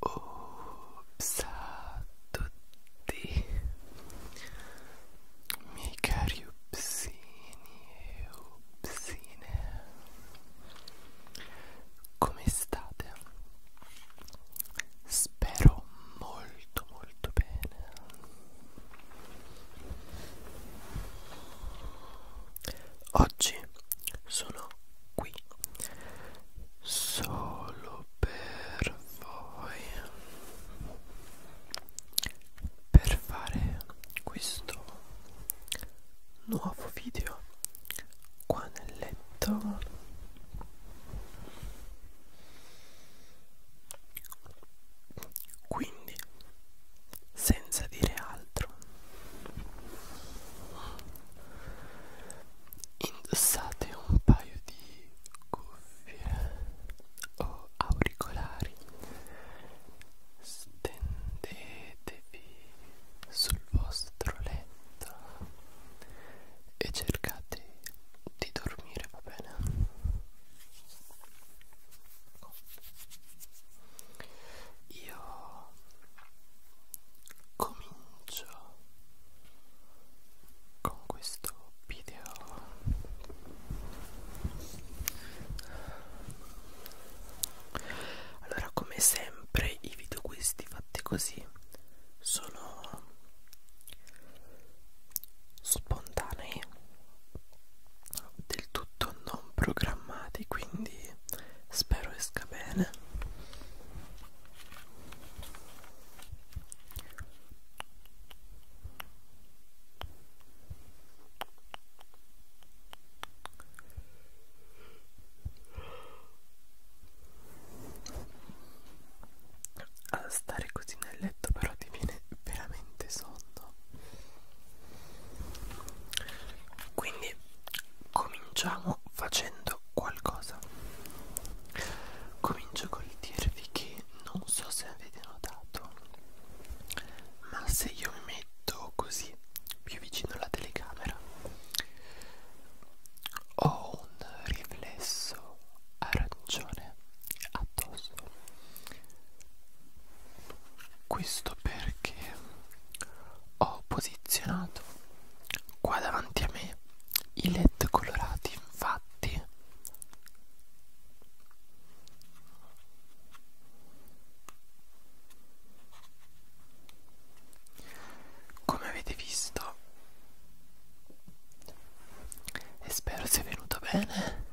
Ops a tutti miei cari upsini e upsine come state? Spero sto molto molto bene oggi sono qui solo per voi per fare questo nuovo video qua nel letto quindi, senza dire altro, indossate un paio di cuffie o auricolari, stendetevi sul vostro letto e cercate di dormire, va bene? Io comincio con questo video allora come sempre i video questi fatti così sono spontanei del tutto non programmati quindi spero esca bene a stare così nel letto però ti viene veramente sonno quindi cominciamo facendo qualcosa comincio col dirvi che non so se avete notato ma se io mi metto così più vicino alla telecamera ho un riflesso arancione addosso questo perché ho posizionato qua davanti a me i led colorati infatti come avete visto e spero sia venuto bene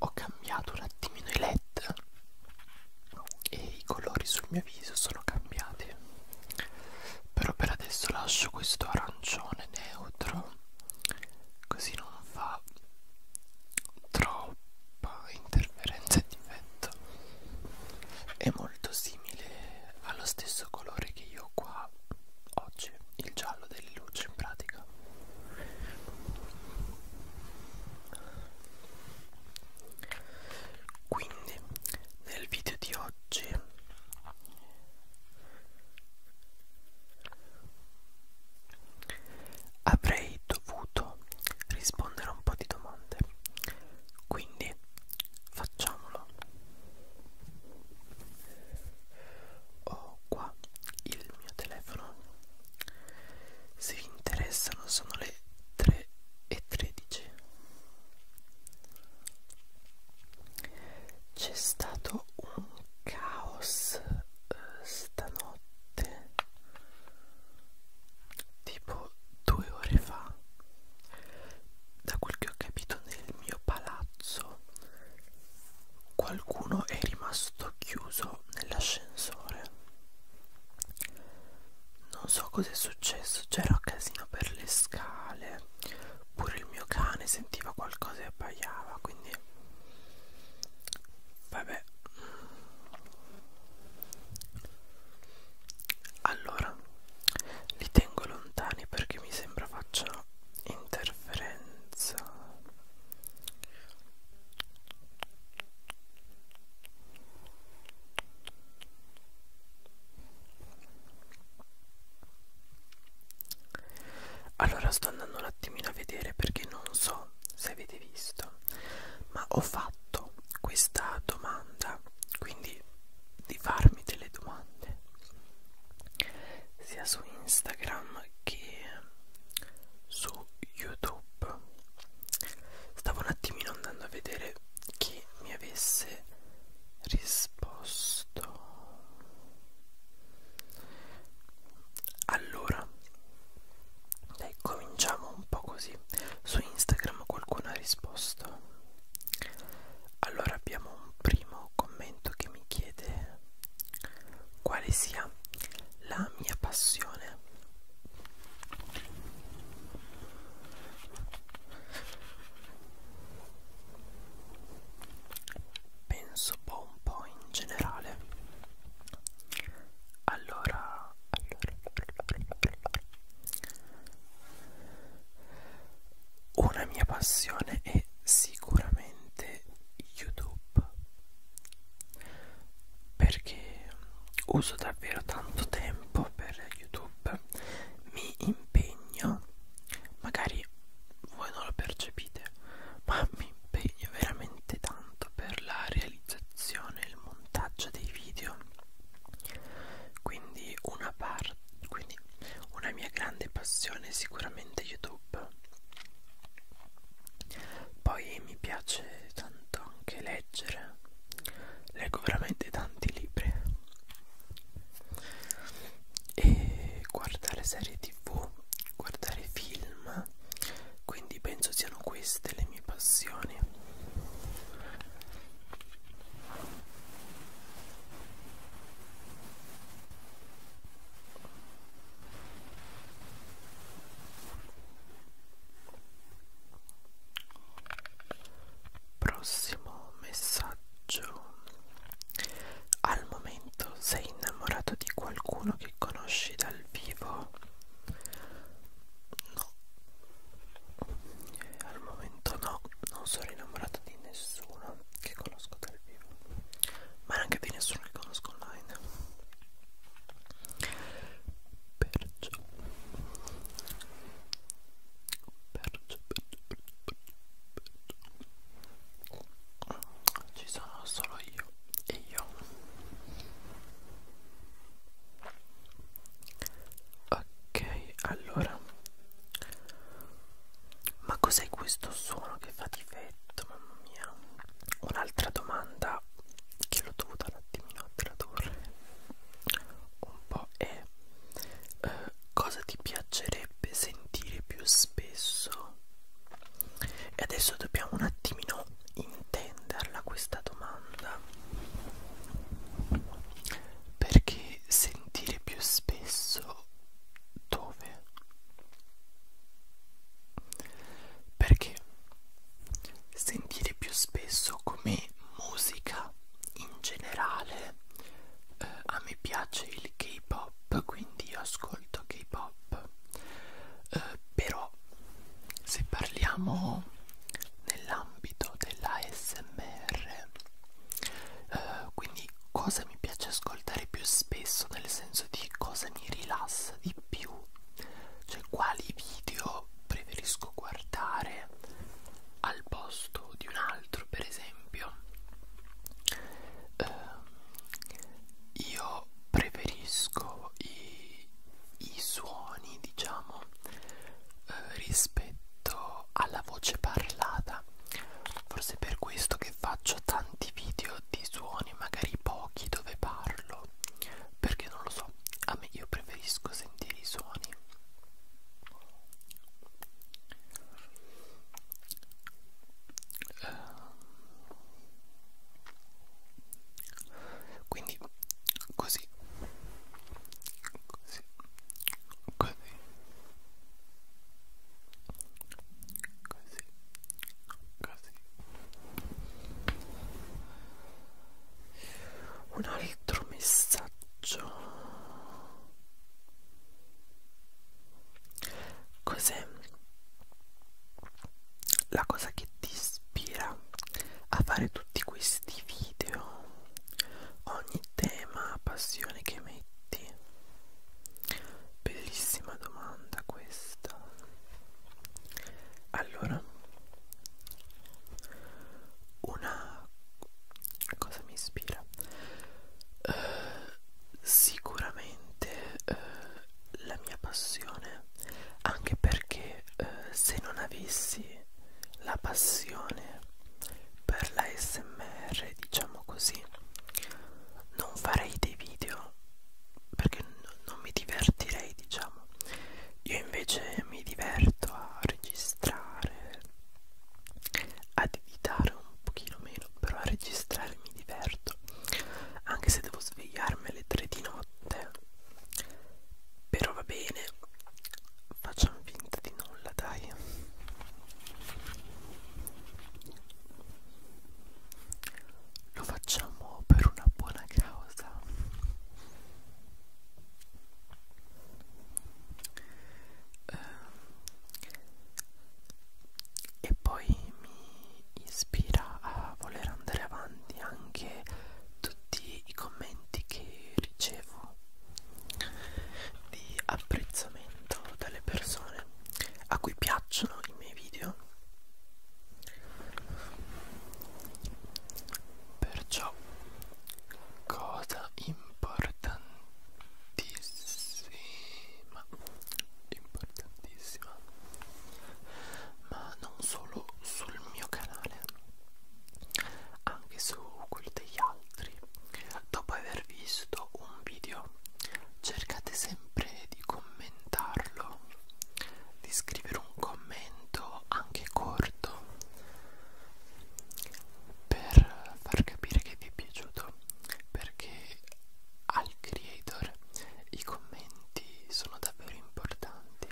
ho cambiato un attimino i led e i colori sul mio viso sono cambiati però per adesso lascio questo arancione neutro così non fa troppo troppa interferenza di vento è molto simile allo stesso colore che io ho qua oggi il giallo delle luci in pratica quindi nel video di oggi avrei dovuto rispondere a un po' di domande quindi facciamolo ho qua il mio telefono se vi interessano sono le 3 e 13 c'è stato un caos eh, stanotte tipo due ore fa da quel che ho capito nel mio palazzo qualcuno è rimasto chiuso nell'ascensore non so cosa è successo c'era casino per le scale pure il mio cane sentiva qualcosa e abbaiava quindi vabbè allora, li tengo lontani perché mi sembra faccia interferenza. Allora sto andando un attimino a vedere perché non so se avete visto, ma ho fatto questa domanda, quindi di farmi delle domande sia su Instagram che su YouTube. Stavo un attimino andando a vedere chi mi avesse risposto. Allora, dai, cominciamo un po' così. Su Instagram qualcuno ha risposto. Allora abbiamo un primo commento che mi chiede quale sia la mia passione. Penso un po' in generale allora, allora, allora. Una mia passione è sicuramente YouTube perché uso davvero tanto tempo per YouTube, mi impegno, magari voi non lo percepite, ma mi impegno veramente tanto per la realizzazione, il montaggio dei video quindi una parte quindi una mia grande passione è sicuramente youtube poi mi piace tanto anche leggere leggo veramente tanti libri e guardare serie tv guardare film italiana quindi penso siano queste le mie passioni Prossimo messaggio. Al momento sei innamorato di qualcuno che conosci dal vivo? no al momento no non sono innamorata di nessuno che conosco dal vivo ma neanche di nessuno che conosco online perciò perciò, perciò, perciò, perciò. ci sono solo io e io Ok, allora Ma cos'è questo suono che fa difetto, mamma mia? Un'altra domanda che l'ho dovuta un attimino tradurre un po' è eh, cosa ti piacerebbe sentire più spesso e adesso dobbiamo un attimino intenderla questa domanda perché sentire più spesso dove? Perché sentire più spesso come musica in generale eh, a me piace il K-pop, quindi ascolto ascolto K-pop, eh, però se parliamo nell'ambito dell'ASMR, eh, quindi cosa mi piace ascoltare più spesso, nel senso di cosa mi rilassa di più, cioè quali video preferisco guardare al posto di un altro, per esempio. Eh, io preferisco i, i suoni diciamo eh, rispetto alla voce parlata forse per questo che faccio tanti video di suoni magari pochi dove parlo perché non lo so a me io preferisco sentire i suoni quindi così così così così così un altro messaggio Cos'è la cosa che ti ispira a fare tutti questi video? Ogni tema, passione che metti? Bellissima domanda questa. Allora, una cosa mi ispira? Uh, sicuramente uh, la mia passione anche perché eh, se non avessi la passione per la smr diciamo così non farei dei video perché non mi divertirei diciamo io invece mi diverto a registrare ad editare un pochino meno però a registrare mi diverto anche se devo svegliarmi alle 3 di notte però va bene facciamo finta di nulla dai lo facciamo per una buona causa eh, e poi mi ispira a voler andare avanti anche tutti i commenti che ricevo di apprezzamento dalle persone a cui piacciono i miei video perciò cosa importantissima importantissima ma non solo sul mio canale anche su quello degli altri dopo aver visto un video cercate sempre di commentarlo di scrivere un commento anche corto per far capire che vi è piaciuto questo perché al creator i commenti sono davvero importanti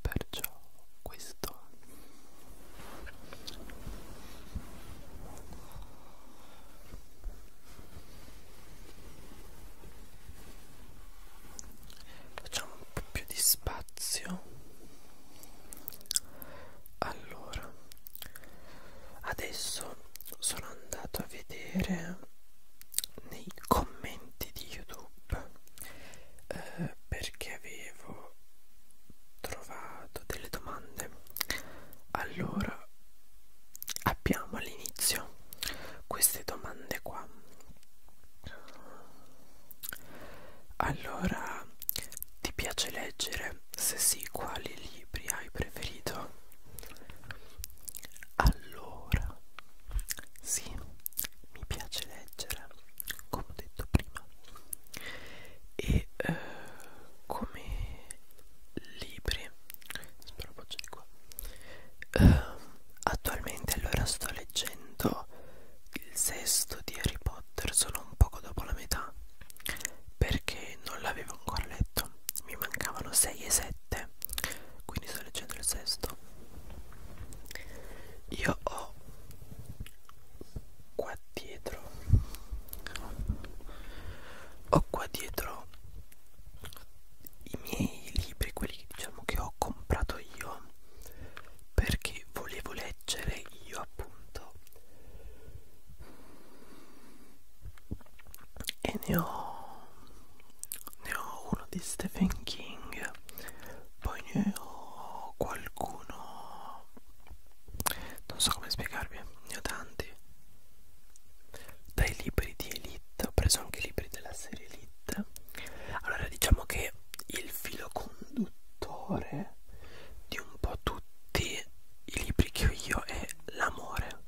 perciò questo facciamo un po' più di spazio allora adesso sono andato a vedere nei commenti di youtube eh, perché avevo trovato delle domande allora abbiamo all'inizio queste domande qua allora ti piace leggere? Se sì, quali libri hai preferito? Allora, sì, mi piace leggere, come ho detto prima. E eh, come libri, spropaccio di qua. Eh, attualmente allora sto leggendo il sesto di Harry Potter, sono un poco dopo la metà perché non l'avevo ancora letto mi mancavano 6 e 7 quindi sto leggendo il sesto io ho qua dietro ho qua dietro i miei libri quelli diciamo che ho comprato io perché che volevo leggere io appunto e ne ho, ne ho uno di Stephen King poi ne ho qualcuno non so come spiegarvi ne ho tanti dai libri di Elite ho preso anche i libri della serie Elite allora diciamo che il filo conduttore di un po' tutti tutti i libri che ho io è l'amore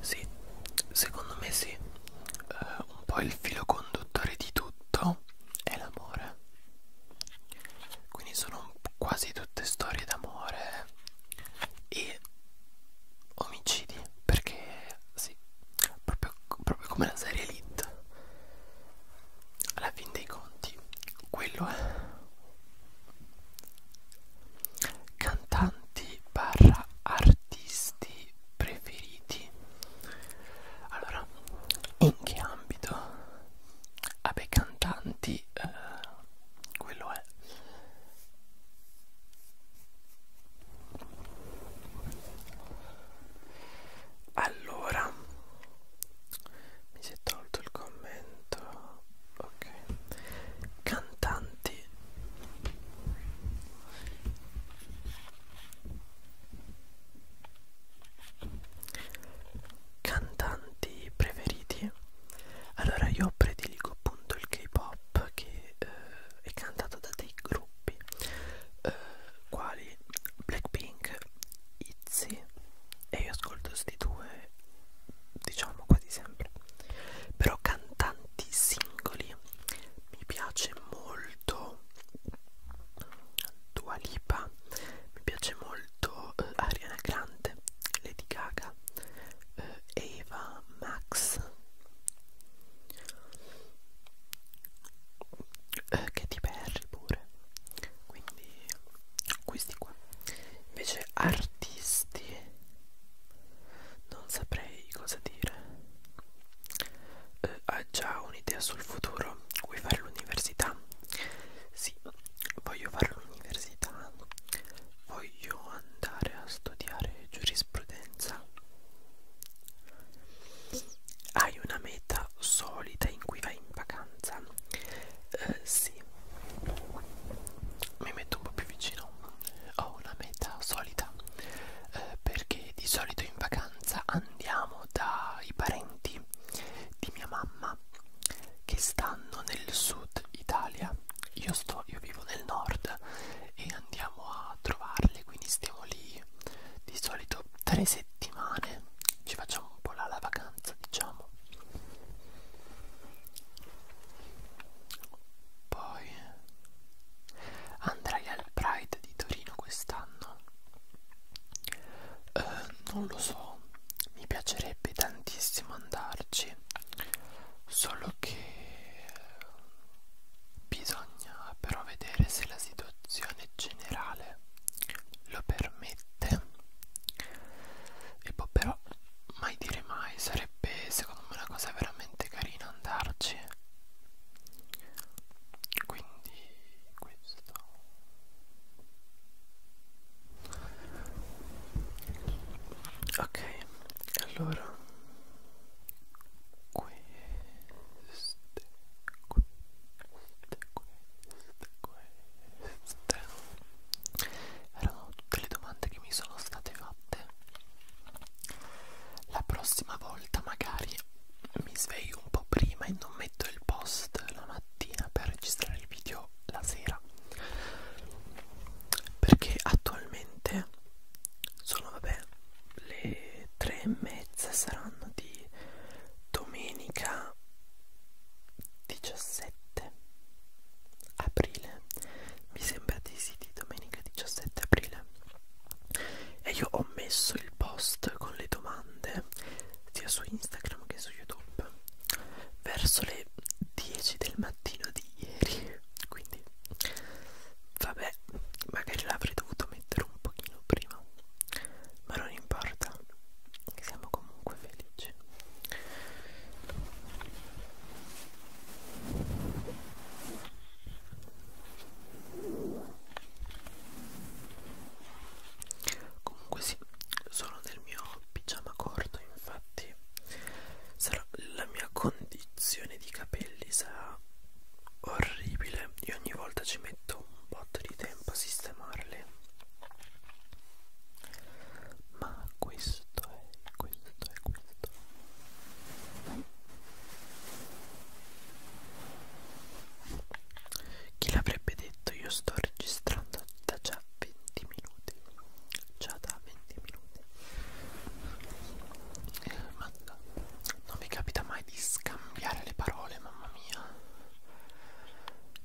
sì secondo me sì uh, un po' il filo conduttore di tutto è l'amore quindi sono quasi tutte storie d'amore e omicidi perché sì proprio, proprio come la serie Elite alla fin dei conti quello è cantanti barra artisti preferiti allora in che ambito vabbè cantanti eh, quello è allora mi si è tolto il commento. Ok. Cantanti. Cantanti preferiti? Allora io prediligo appunto il K-pop che eh, è cantato da dei gruppi gruppi eh, quali Blackpink, Itzy e io ascolto questi due diciamo quasi sempre però cantanti singoli mi piace molto Dua Lipa mi piace molto eh, Ariana Grande Lady Gaga eh, Eva Max eh, che ti perri pure quindi questi qua invece artisti non saprei cosa dire eh, ha già un'idea sul futuro vuoi fare l'università sì voglio fare l'università voglio andare a studiare giurisprudenza cosa. Hai una meta solida in cui vai in vacanza? Eh, sì, mi metto un po' più vicino. Ho una meta solida eh, perché di solito in vacanza andiamo dai parenti di mia mamma che stanno nel sud Italia io, sto, io vivo nel nord e andiamo a trovarle, quindi stiamo lì di solito tre settimane, ci facciamo un po' la, la vacanza diciamo. Poi andrai al Pride di Torino quest'anno? Eh, non lo so, mi piacerebbe tantissimo andarci solo che bisogna però vedere se la situazione generale lo permette e poi però mai dire mai sarebbe secondo me una cosa veramente carina andarci quindi questo ok allora queste, queste, queste, queste erano tutte le domande che mi sono state fatte. La prossima volta magari mi sveglio un po' prima e non metto il post la mattina per registrare il video la sera perché attualmente sono vabbè le tre e mezza saranno di domenica 17 aprile mi sembra di sì di domenica 17 aprile e io ho messo il post con le domande sia su Instagram che su YouTube verso le 10 del mattino di ieri quindi Vabbè, magari l'avrei dovuto mettere un pochino prima, ma non importa, siamo comunque felici. Comunque sì, sono nel mio pigiama corto infatti infatti sarò, la mia condizione di capelli sarà orribile e ogni volta ci metto un botto di tempo a sistemarli ma questo è questo è questo chi l'avrebbe detto io sto registrando da già 20 minuti già da 20 minuti eh, ma non mi capita mai di scambiare le parole mamma mia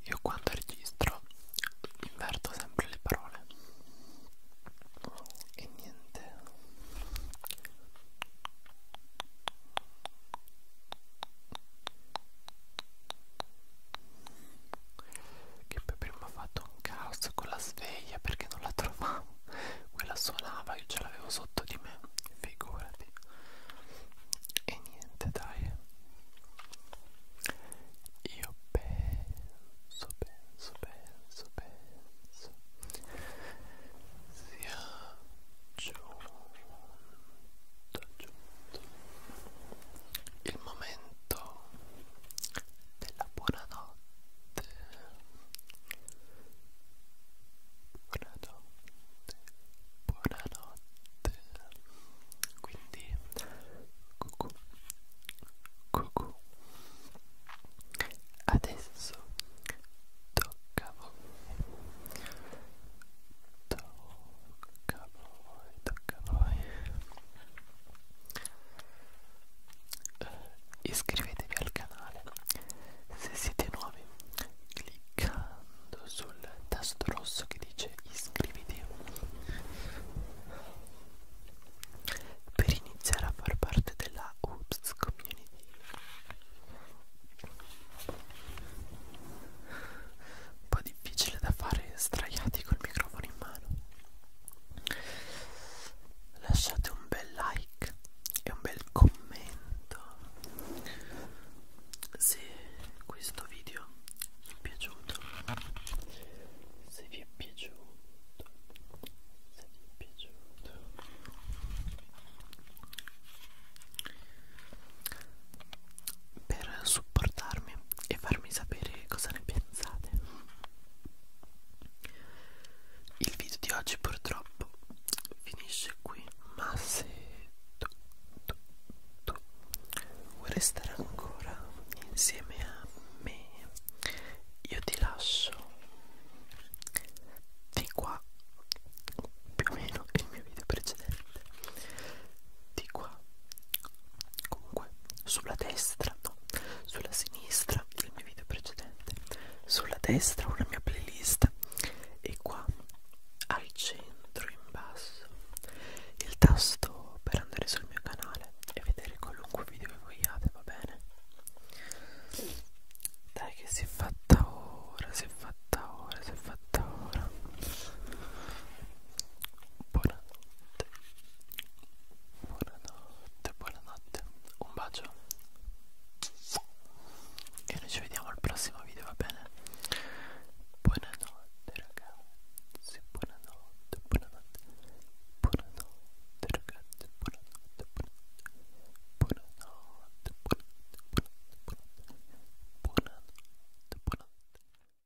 io quando registro inverto sempre le parole e niente che per prima ha fatto un caos con la sveglia perché non la trovavo quella suonava io ce l'avevo sotto di me figurati e niente dai io penso penso penso penso sia giunto giunto il momento della buonanotte buonanotte buonanotte quindi cucù cucù adesso tocca a voi tocca a voi noi, tocca a noi iscrivetevi al canale se siete nuovi cliccando sul tasto rosso che dice iscriviti per iniziare a far parte della Oops Community un po' difficile da fare straiati col microfono in mano lasciate un bel like e un bel commento se questo video vi è piaciuto se vi è piaciuto se vi è piaciuto per supportarmi e farmi sapere cosa ne pensate. Il video di oggi purtroppo finisce qui, ma se tu, tu, tu vuoi restare ancora insieme a me, io ti lascio di qua più o meno il mio video precedente di qua comunque sulla destra no sulla sinistra del mio video precedente sulla destra una mia playlist e qua al centro in basso il tasto per andare sul mio canale e vedere qualunque video che vogliate va bene dai che si è fatta ora si è fatta ora si è fatta ora buonanotte Buonanotte, buonanotte, un bacio e noi ci vediamo al prossimo video, va bene? Buonanotte ragazzi, buonanotte, buonanotte, buonanotte ragazzi, buonanotte, buonanotte, buonanotte, buonanotte, buonanotte, buonanotte, buonanotte. buonanotte, buonanotte.